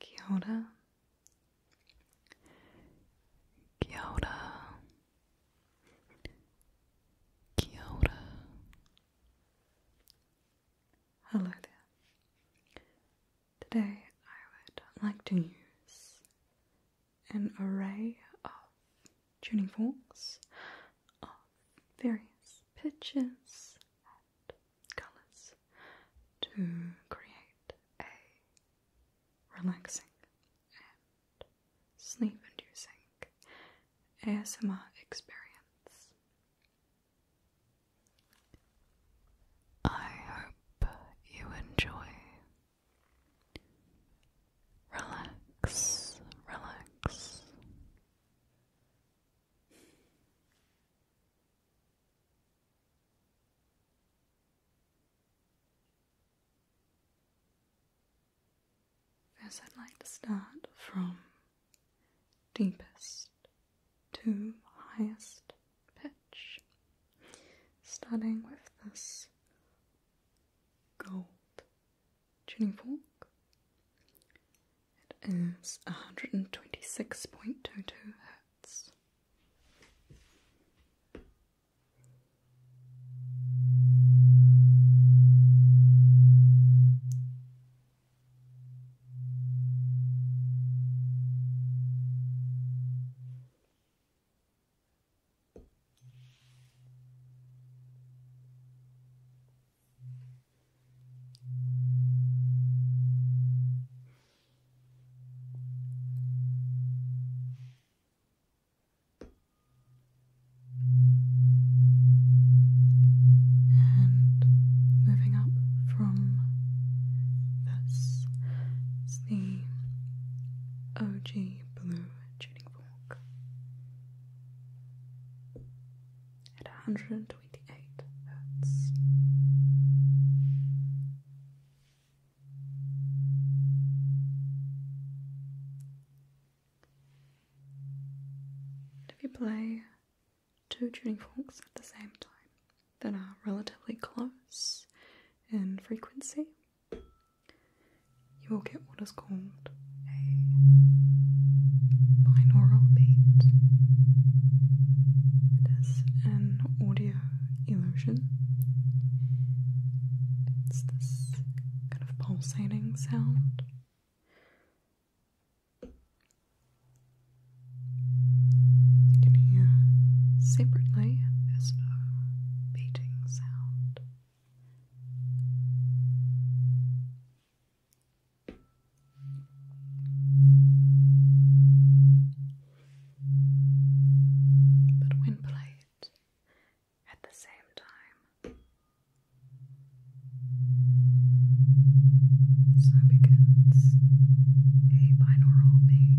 Kia ora. Kia ora. Kia ora. Hello there. Today I would like to use an array of tuning forks of various pitches and colours to create a relaxing and sleep inducing ASMR experience. I hope you enjoy Relax, relax. First, I'd like to start from deepest to highest pitch, starting with this gold tuning fork. It is 126.22 hertz. And moving up from this is OG Blue tuning fork at 128 hertz. If you play two tuning forks at the same time that are relatively close in frequency, you will get what is called a binaural beat. It is an audio illusion. It's this kind of pulsating sound. You can hear separately, there's no beat sound. But when played at the same time, so begins a binaural beat.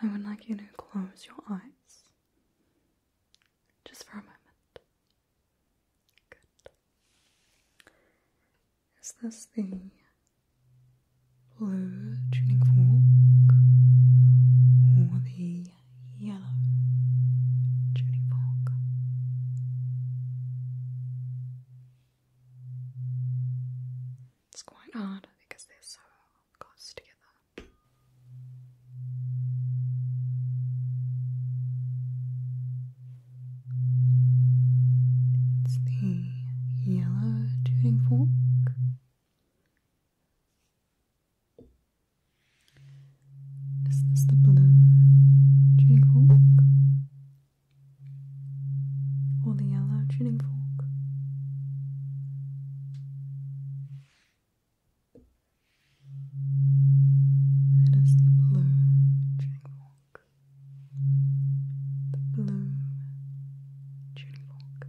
I would like you to close your eyes just for a moment. Good. Is this the blue tuning fork or the yellow tuning fork? It's quite hard because they're so close together. It's the yellow tuning fork. Is this the blue tuning fork? or the yellow tuning fork. It is the blue tuning fork. The blue tuning fork.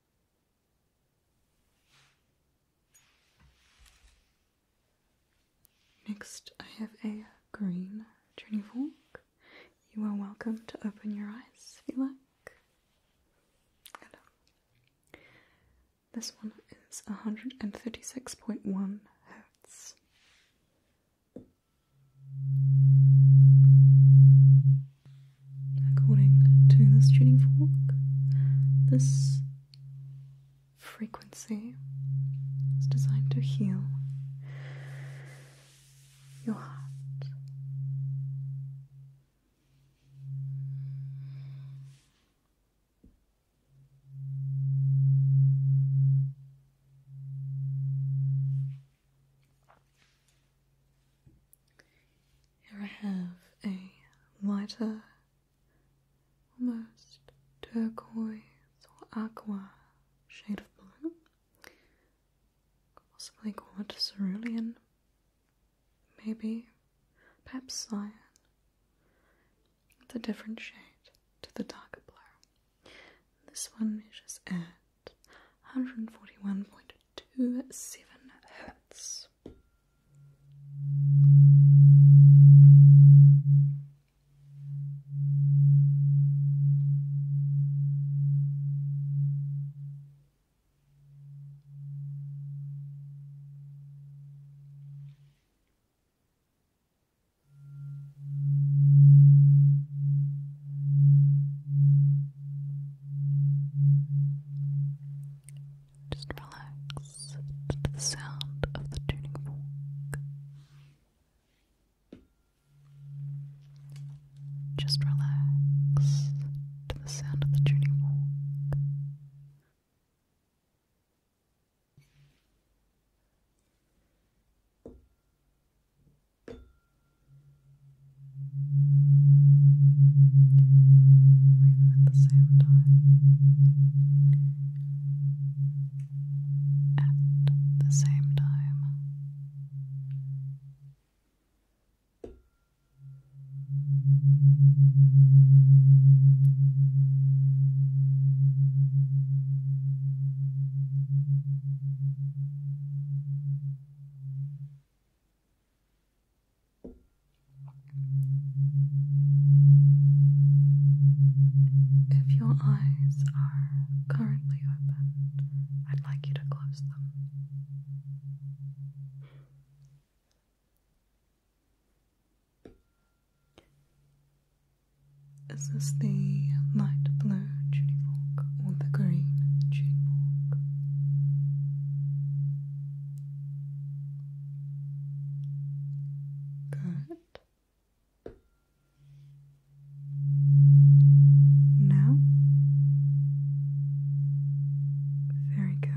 Next, I have a green journey fork. You are welcome to open your eyes if you like. Hello. This one is 136.1 hertz according to this tuning fork, this frequency is designed to heal your heart. Here I have a lighter, almost turquoise or aqua shade of blue. possibly called cerulean, maybe, perhaps cyan. It's a different shade to the darker blue. This one measures at 141.2 Two seven hertz. Just relax to the sound of the tuning fork. Just relax to the sound of the tuning fork. Play them at the same time. At the same time. Good. If your eyes are currently open, I'd like you to close them. Is the light blue tunifork? or the green Good. Now, very good.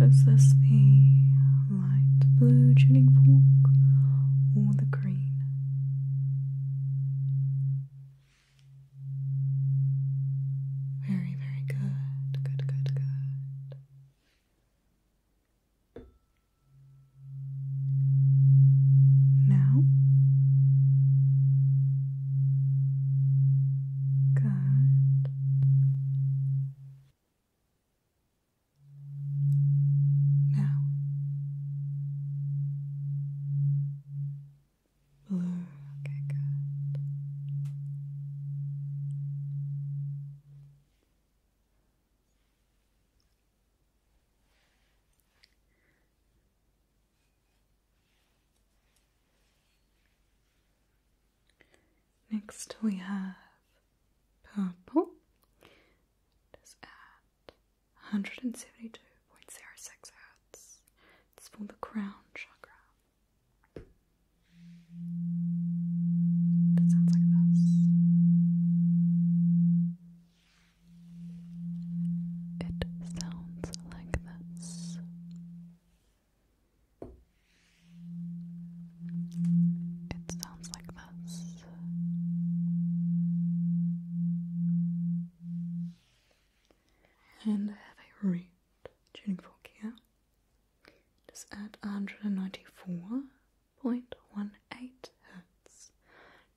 Is this the light blue tuning fork or the green? Very, very good. Good, good, good. Now, good. Now, blue, okay, good. Next we have purple. It's at 172.06 hertz. It's for the crown chakra. That sounds like this. It sounds like this. It sounds like this. And I have a read tuning fork here. Just at 194.18 Hz.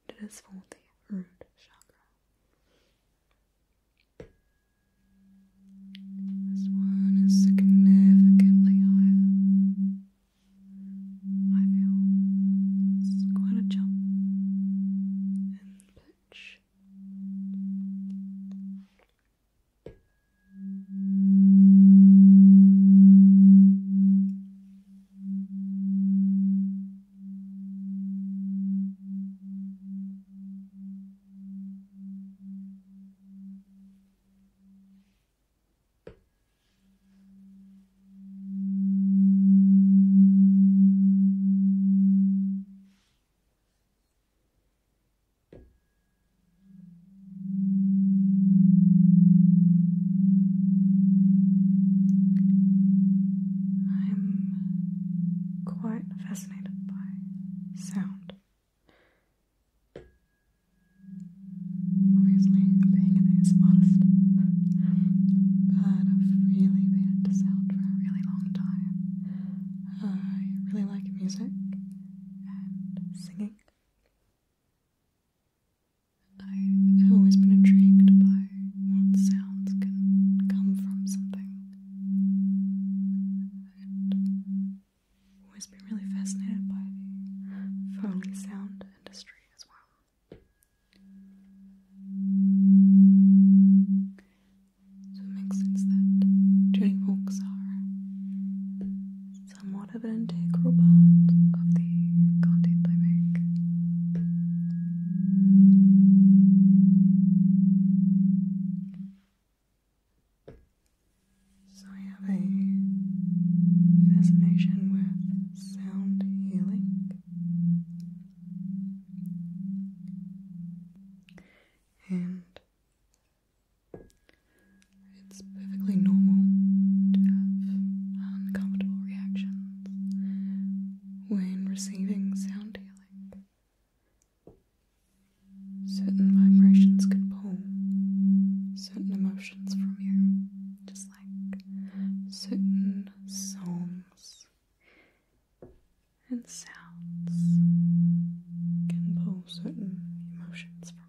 It is for the root chakra. This one is significantly higher. I feel it's quite a jump in pitch. I'm quite fascinated by sound. Obviously, being an modest, but I've really been into sound for a really long time. Uh, I really like music and singing. I have always been intrigued by what sounds can come from something always been really fascinated by the phone sound industry as well. So it makes sense that Jane Folks are somewhat of an integral part of the content I make. So I have a fascination with sound healing. And it's perfectly normal to have uncomfortable reactions when receiving sound healing. Certain vibrations can pull certain emotions from you, just like certain songs and sounds can pull certain emotions from you.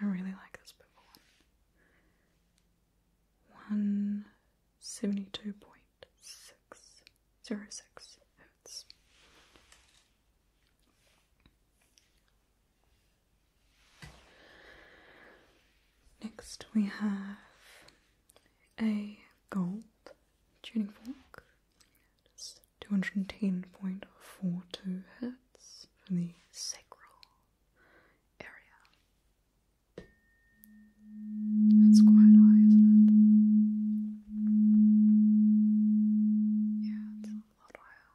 I really like this purple one. 172.606 hertz. Next, we have a gold tuning fork. It's 210.42 hertz for the sacral area. That's quite high, isn't it? Yeah, it's a lot higher.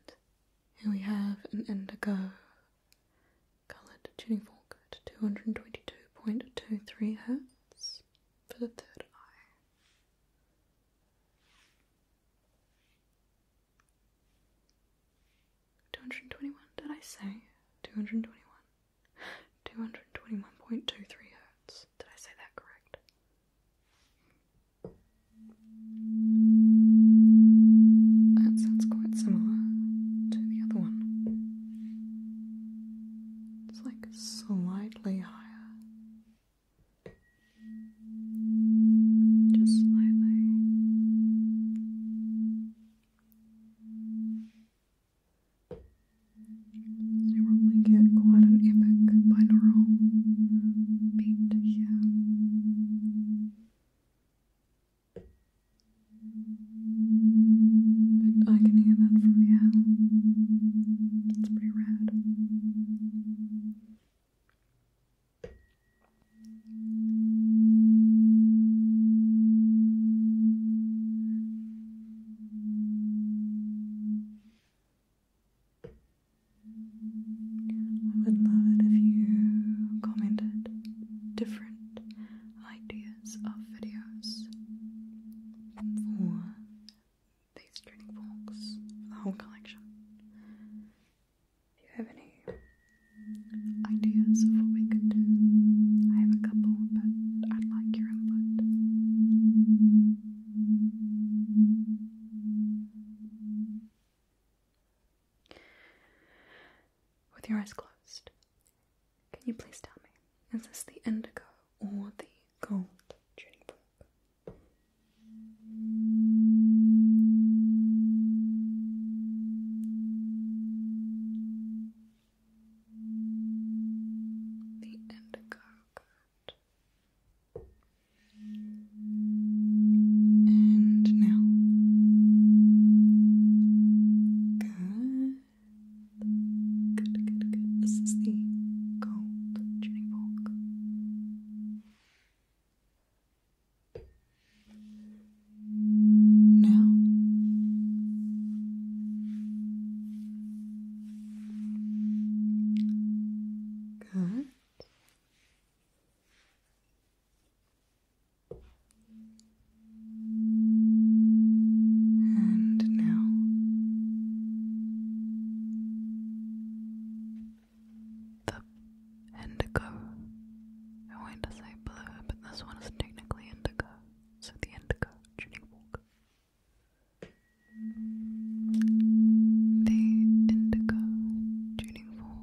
And here we have an indigo coloured tuning fork at 222.23 hertz for the third eye. Two hundred twenty one, did I say? Two hundred twenty one. Two hundred twenty one point two three hertz. Did I say that correct? That sounds quite similar to the other one. It's like slightly higher. Just slightly. So you probably get quite an epic binaural beat here. I can hear that from here. It's pretty rad. I would love it if you commented different ideas of videos for these training books, the whole collection. If you have any ideas of what we could do? I have a couple, but I'd like your input. With your eyes closed, can you please tell me, is this the indigo or the gold tuning fork? The indigo, good. And now. Good. Good, good, good. This is the gold tuning fork. Now good and now the indigo. I wanted to say blue, but this one is technically indigo, so the indigo tuning walk. The indigo tuning fork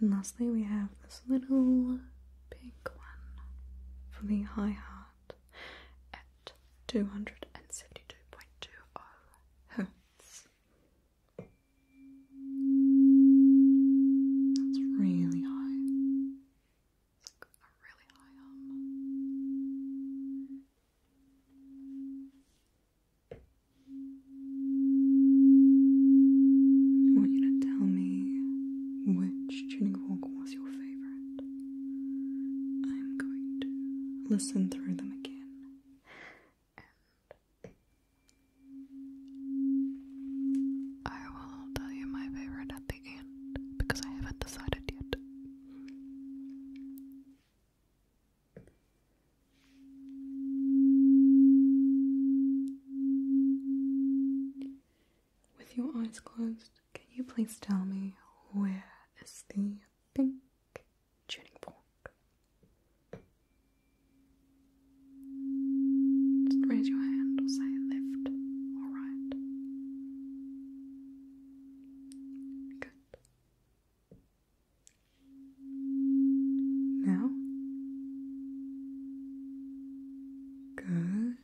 And lastly, we have this little pink one for the high heart at 272.20 hertz. That's really high. I want you to tell me which tuning fork was your favorite. I'm going to listen through them again. And I will tell you my favorite at the end because I haven't decided yet. With your eyes closed, can you please tell me where is the pink tuning fork? Just raise your hand or say left or right. Now? Good.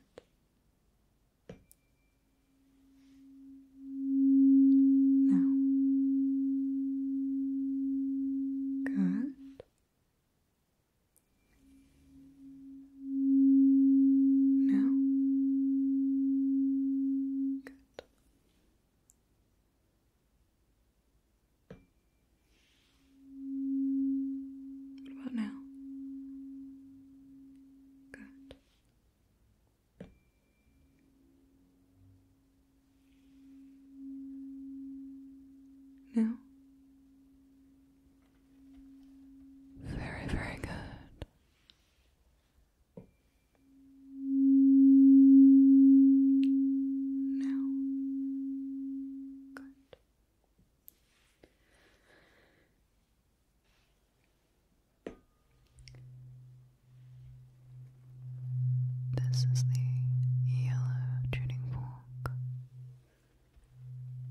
Now. Good. No? Good. What about now? Good. Now? Very, very good. Now, good. This is the yellow tuning fork,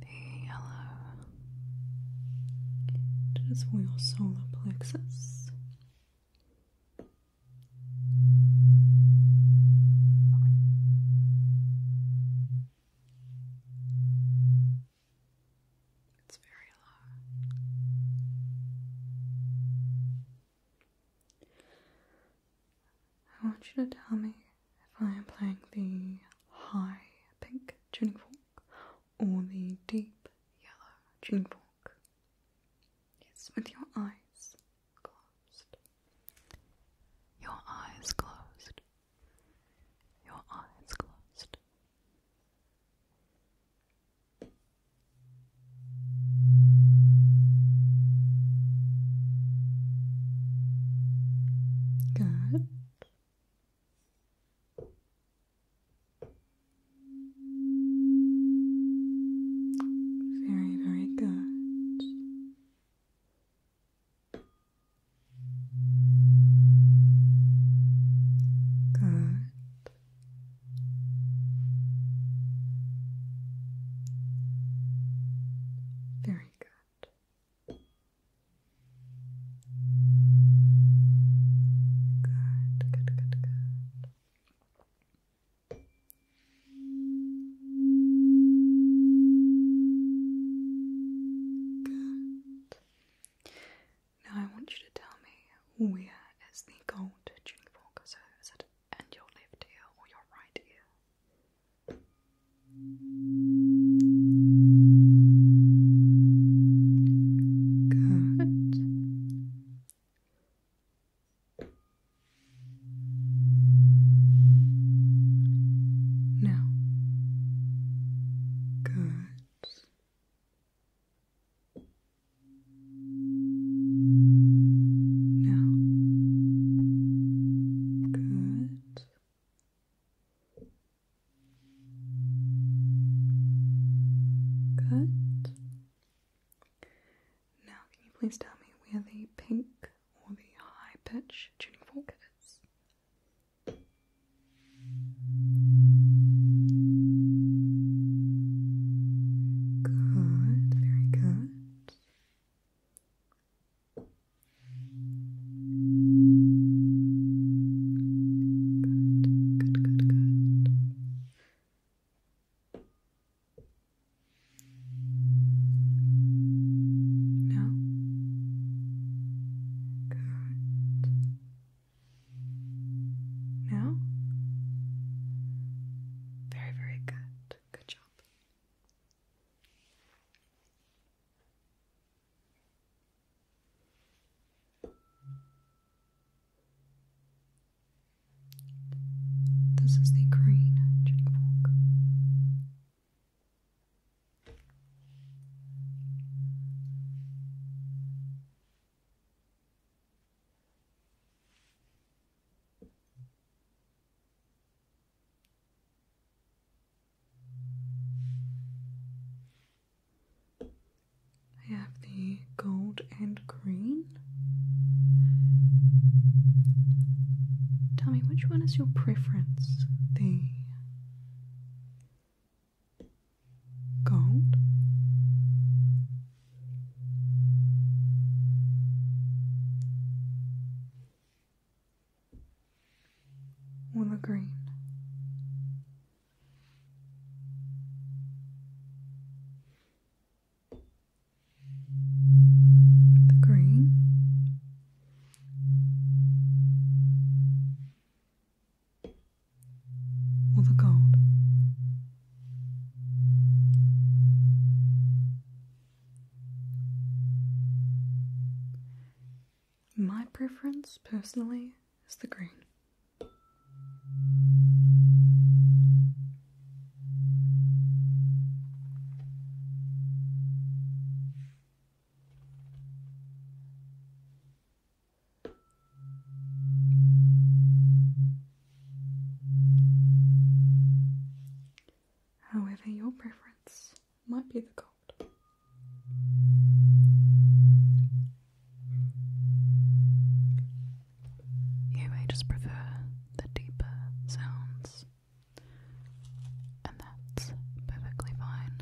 the yellow it is for your solar plexus. It's very low. I want you to tell me if I am playing the high pink tuning fork or the deep yellow June fork. Yes, with your eyes closed. Your eyes closed. Your eyes closed. Good. Very, very good. Good. Very good. Good, good, good, good. Now I want you to tell me where is the gold tuning fork? So is your left ear or your right ear? Good heart. Now, good. Now, good. Good. Now, can you please tell me where the pink or the high pitch tuning fork is? Good, very good. Good, good, good, good. No? Good. No? Very, very good. Good job. This is the green Jenny Falk. I have the gold and green. Tell me which one is your preference? The gold? Or the green? the green, or the gold. My preference, personally, is the green. However, your preference might be the gold. You may just prefer the deeper sounds, and that's perfectly fine.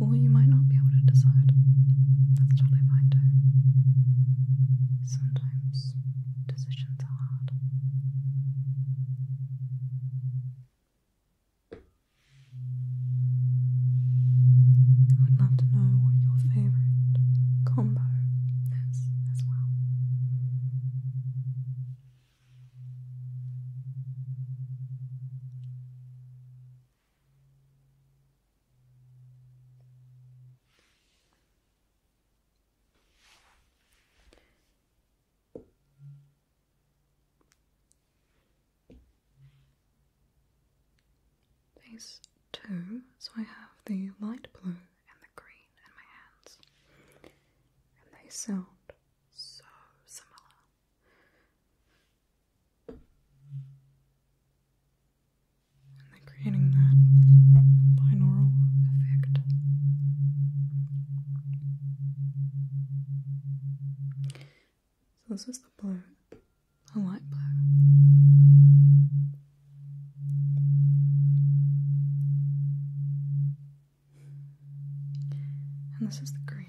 Or you might not be able to decide. That's totally fine too. Sometimes decisions are hard. I would love to know what your favourite combo is as well. Phase two, so I have the light blue and the green in my hands, and they sound so similar. And they're creating that binaural effect. So this is the blue, the light blue. And this is the green.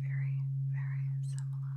Very, very similar.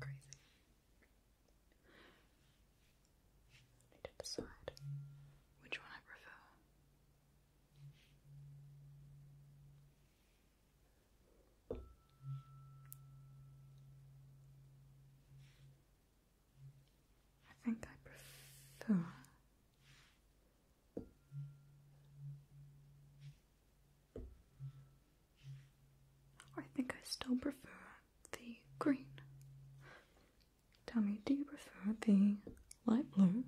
Crazy. need to decide which one I prefer. I think I prefer I think I still prefer the green. Tell me, do you prefer the light blue?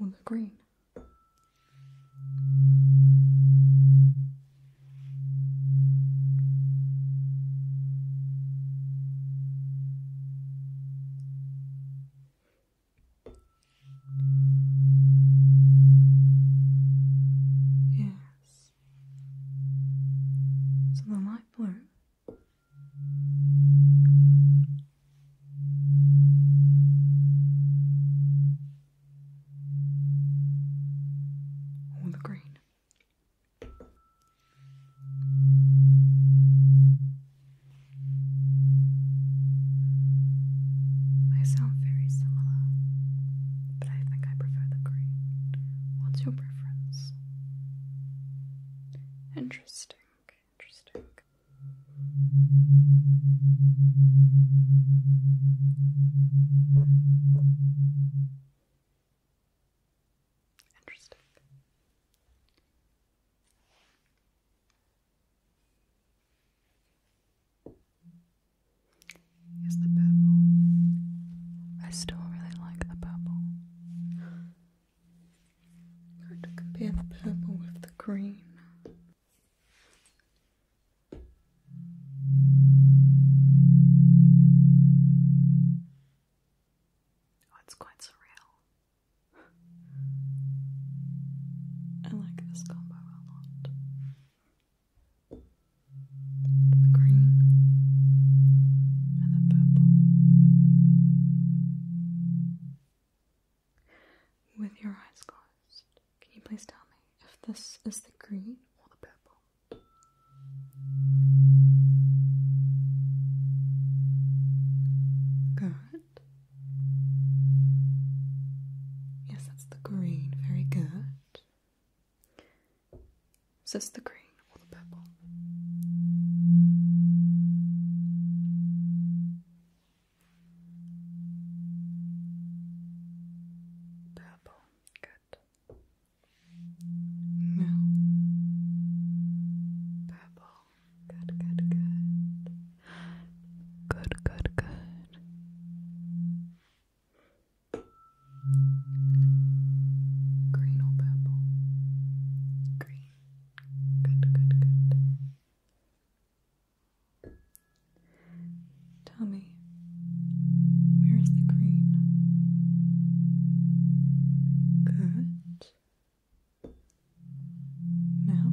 On the green. Yes, so the light blue or the green. They sound very similar, but I think I prefer the green. What's your preference? Interesting, interesting. Interesting is the purple. I still really like the purple. Hard to compare the purple with the green. Oh, it's quite surreal. I like this combo a lot the green and the purple. With your eyes closed, can you please tell me if this is the green or the purple? Good. Yes, that's the green. Very good. Is this the green or the purple? Purple, good. No. Purple, good, good, good. Good, good, good. Green or purple? Green. Good, good, good. Tell me, where is the green? Good. Now?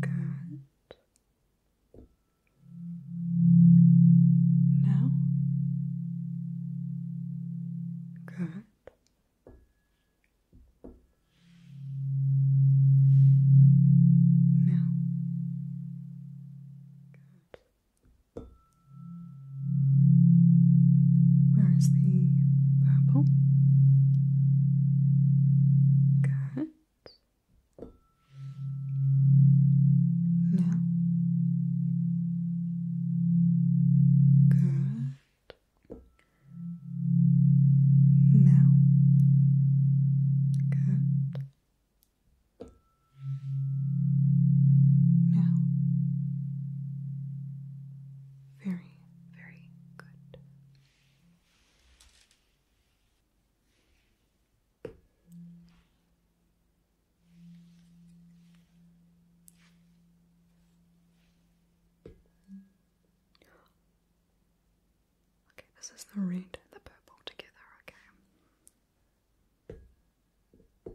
Good. Now? Good. Now. Good. Where is the purple? Good. No. Good. Now. Good. Now. Very, very good. Okay, this is the red and the purple together, okay. I really like the way that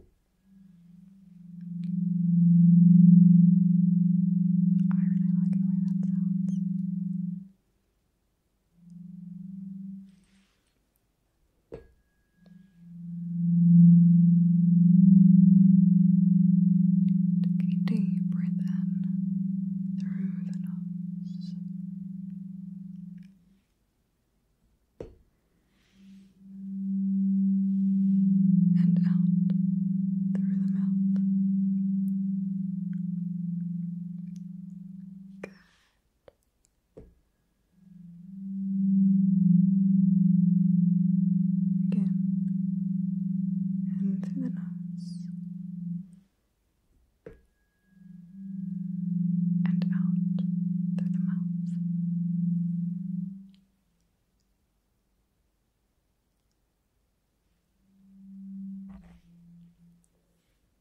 sounds. Take a deep breath in through the nose. And out through the mouth. Good. Again, and through the nose, and out through the mouth.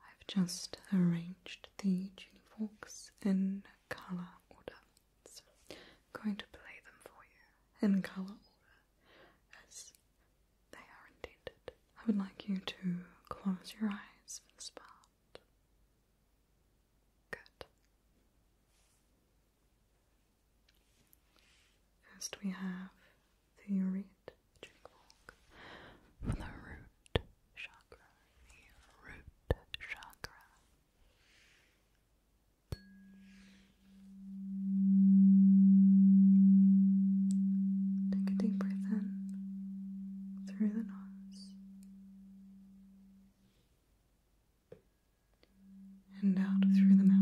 I've just arranged the tuniforks in colour order. I'm going to play them for you in colour order as they are intended. I would like you to close your eyes for the part. Good. First, we have the urate root chakra, the root chakra. Take a deep breath in through the nose and out through the mouth.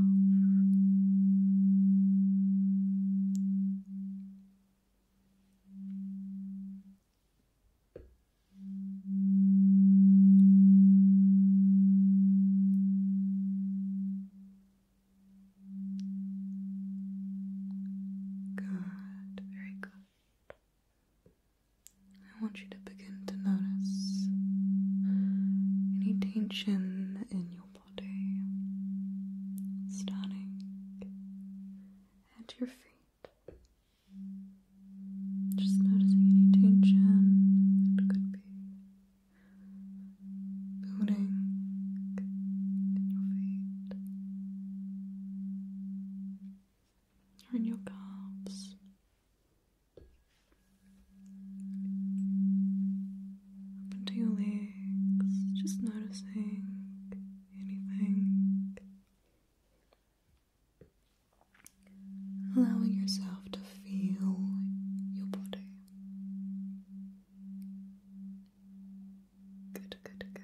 Good, very good. I want you to begin to notice any tension in your Stunning. And your feet. Just noticing any tension that could be building in your feet or in your calves. Up into your legs, just noticing anything. Allowing yourself to feel your body. Good, good, good.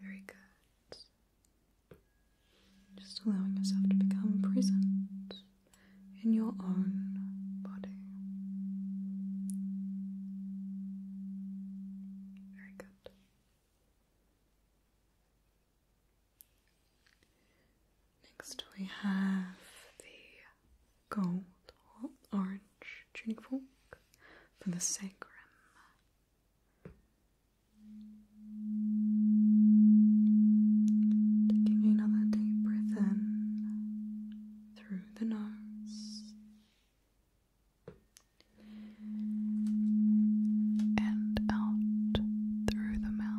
Very good. Just allowing yourself to become present in your own body. Very good. Next, we have the gold orange tuning fork for the sacrum. Taking another deep breath in through the nose and out through the mouth.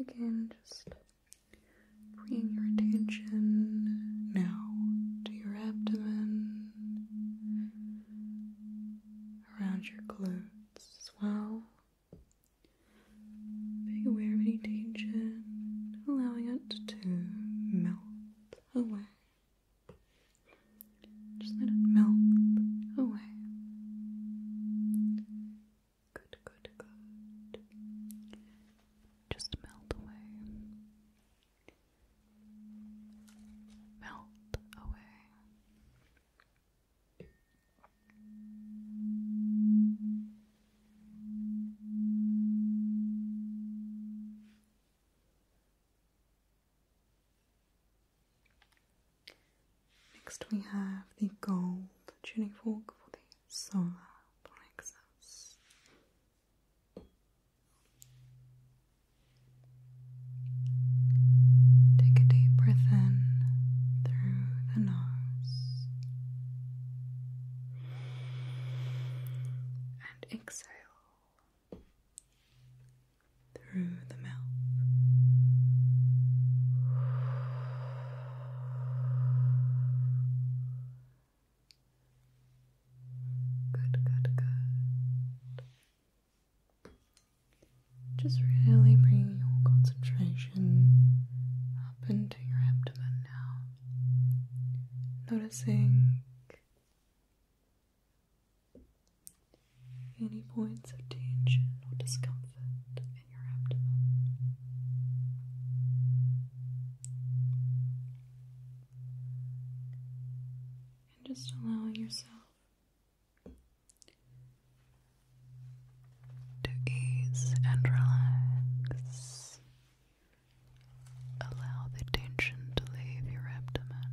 Again, just bringing your attention now to your abdomen around your glutes as well. Being aware of any tension, allowing it to melt away. Just let it melt away. Good, good, good. Just melt away melt away. Next, we have the gold tuning fork for the solar plexus. Take a deep breath in through the nose and exhale through the mouth. Good, good, good. Just really bring your concentration up into your abdomen now. Noticing any points of tension or discomfort in your abdomen and just allowing yourself to ease and relax. Allow the tension to leave your abdomen.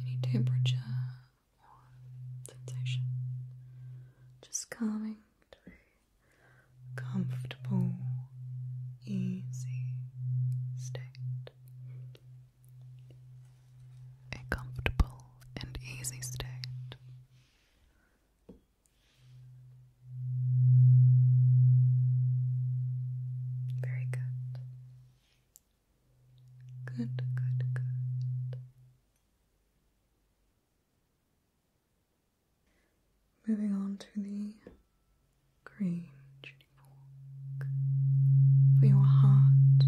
Any temperature warm sensation. Just coming through comfortable, easy state. A comfortable and easy state. Very good. Good, good, good. Moving on to the green chili fork for your heart.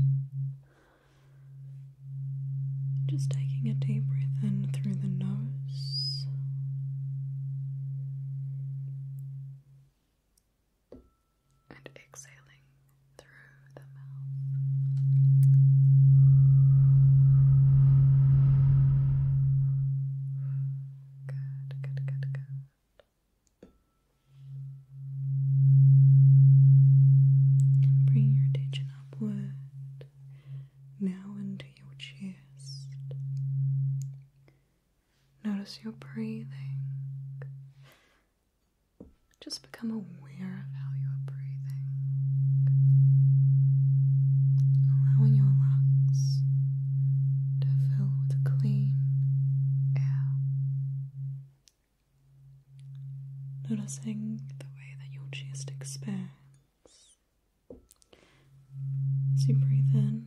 Just taking a deep breath in through the nose. And exhaling through Good, good, good, good. bring your attention upward, now into your chest. Notice your breathing. Just become aware of how you are breathing, allowing your lungs to fill with clean air. Noticing the way that your chest expands as you breathe in,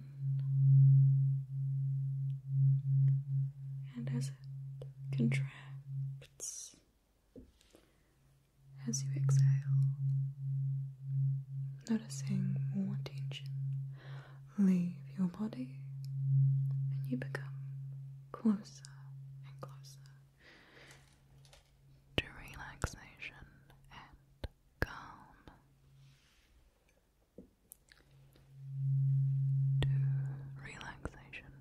and as it contracts. As you exhale, noticing more tension leave your body and you become closer and closer to relaxation and calm. To relaxation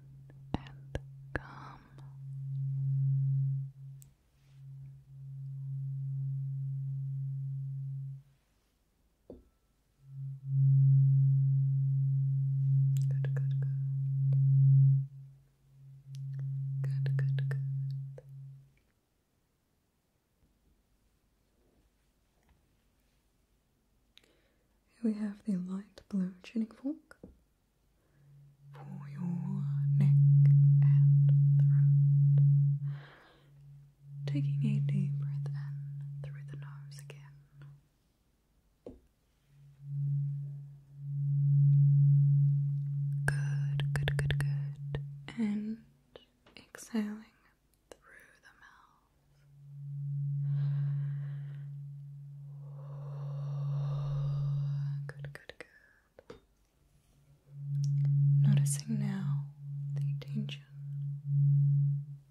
and calm. Good, good, good. Good, good, good. Here we have the light blue tuning fork for your neck and throat. Taking a deep breath in through the nose again. Good, good, good, good. And exhaling. Through the mouth. Good, Noticing now the tension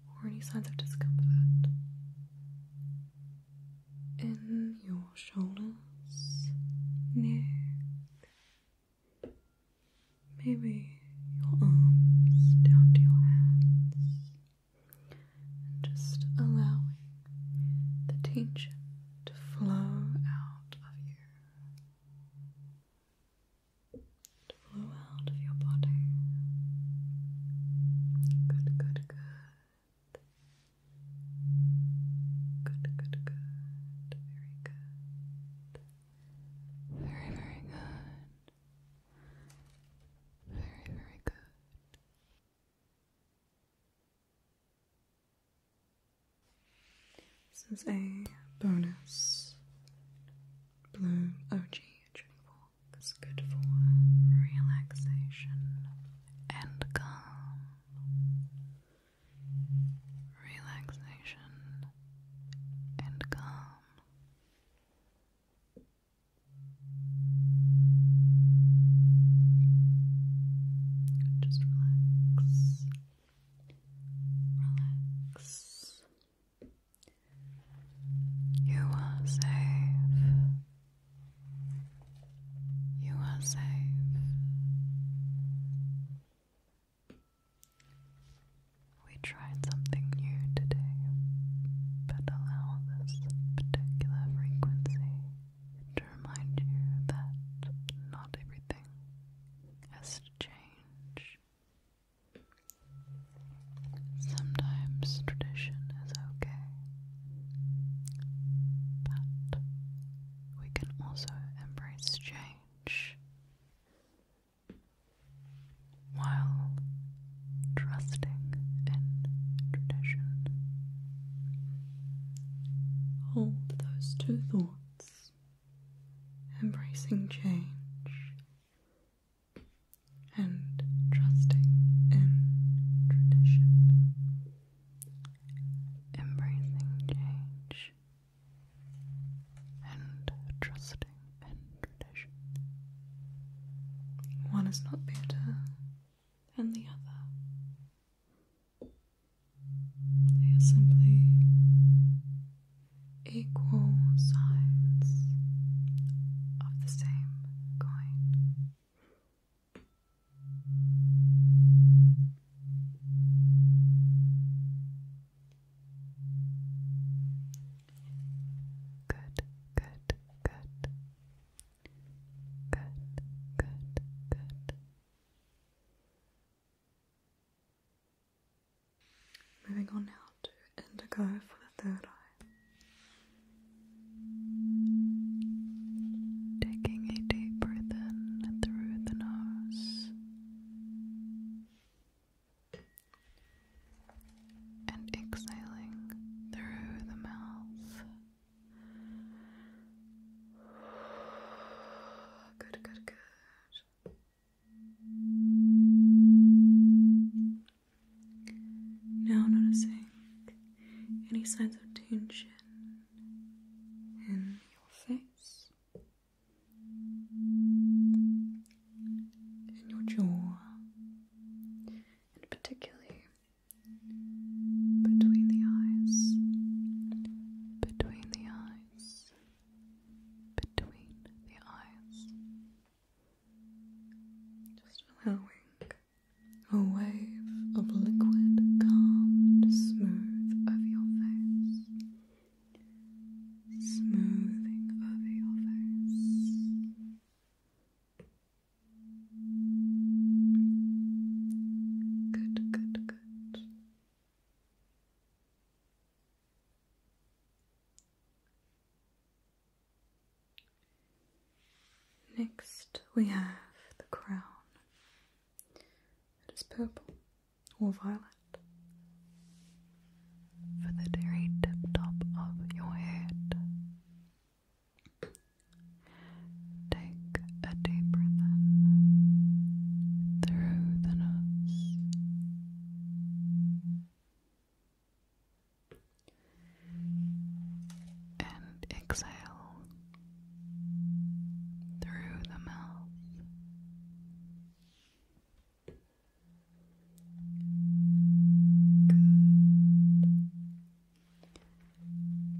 or any signs of discomfort in your shoulders, neck, maybe your arms down to your hands just allowing the tension to flow out of you, to flow out of your body. Good, good, good. Good, good, good. Very good. Very, very good. Very, very good. This is a bonus blue oh, OG drink walk. It's good for relaxation and calm. Relaxation and calm. Just relax. Relax. You are safe. You are safe. We tried something new today, but allow this particular frequency to remind you that not everything has to change. Sometimes tradition is okay, but we can also embrace change while trusting in tradition. Hold those two thoughts, embracing change and trusting in tradition. Embracing change and trusting in tradition. One is not better than the other. They are simply equal sides of the same coin. Good, good, good. Good, good, good. Moving on now to indigo for the third eye. Taking a deep breath in through the nose and exhaling through the mouth. Good, good, good. Now noticing any signs of tension in your face, in your jaw, and particularly between the eyes, between the eyes, between the eyes. Just allowing a wave of liquid calm to smooth over your face. Smoothing over your face. Good, good, good. Next, we have the crown. It is purple or violet for the very tip top of your head. Take a deep breath in through the nose. And exhale through the mouth. Good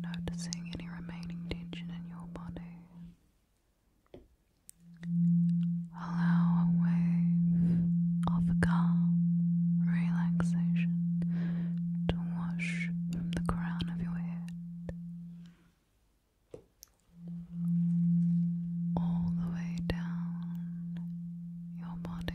noticing any remaining tension in your body. Allow a wave of calm relaxation to wash from the crown of your head all the way down your body.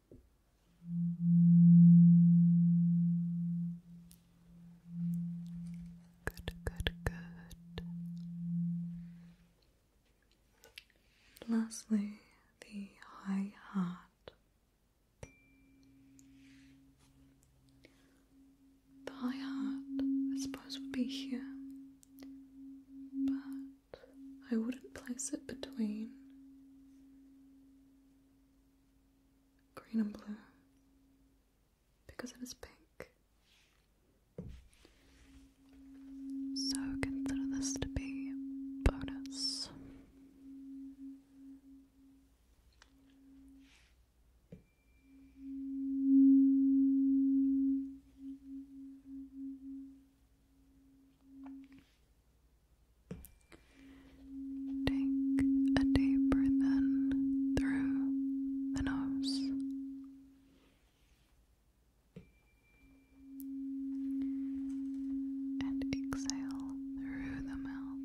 Good, good, good. Lastly, the high heart. The high heart, I suppose, would be here, but I wouldn't place it between green and blue because it is pink. So consider this to be bonus. Take a deep breath in through the nose. And exhale through the mouth.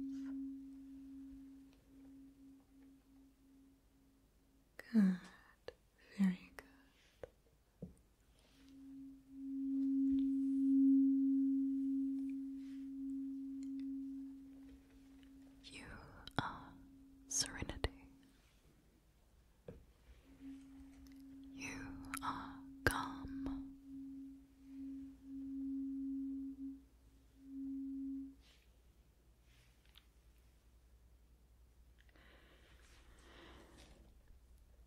Good, very good. You are serenity. You are calm.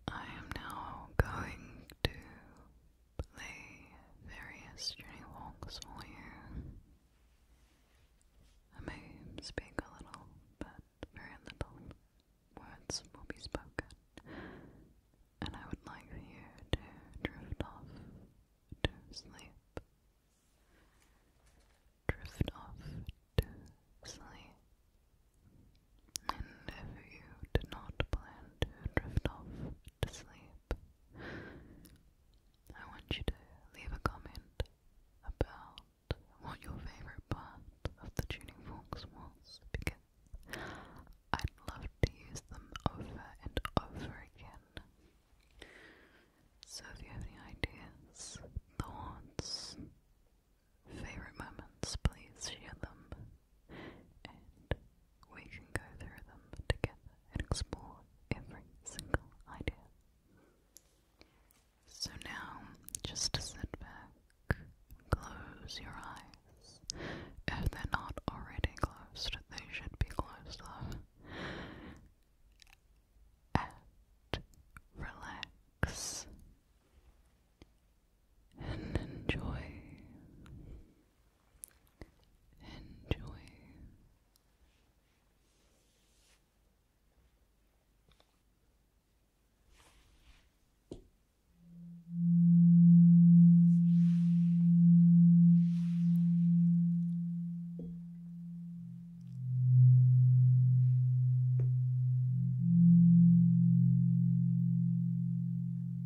I am now going to play various journey for you. I may speak a little, but very little words will be spoken, and I would like for you to drift off to sleep. Drift off to sleep. And if you did not plan to drift off to sleep, I want you to leave a comment about what your favorite part of the tuning forks was because I'd love to use them over and over again. So if you have any ideas, thoughts, favorite moments, please share them, and we can go through them together and explore every single idea. So now, just to sit back, close your eyes. If they're not already closed, they should be closed And relax and enjoy. Enjoy.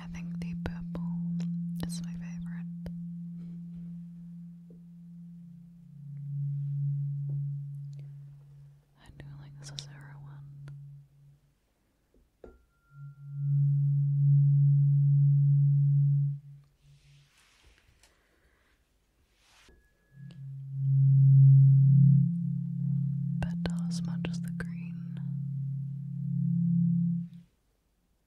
I think the purple is my favorite. I do like this is zero one. But not as much as the green.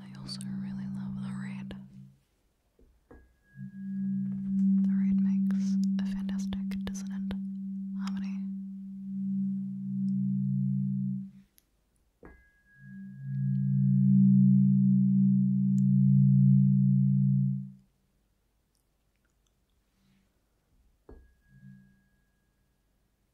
I also really love the red. The red makes a fantastic dissonant harmony. I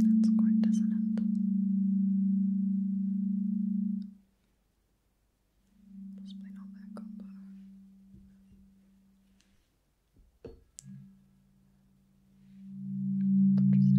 That's quite, does Possibly not that combo. Interesting.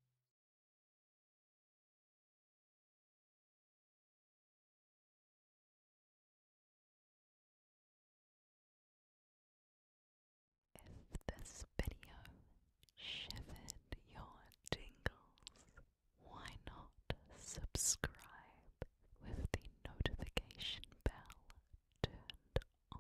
If this video shivered your tingles, why not subscribe with the notification bell turned on?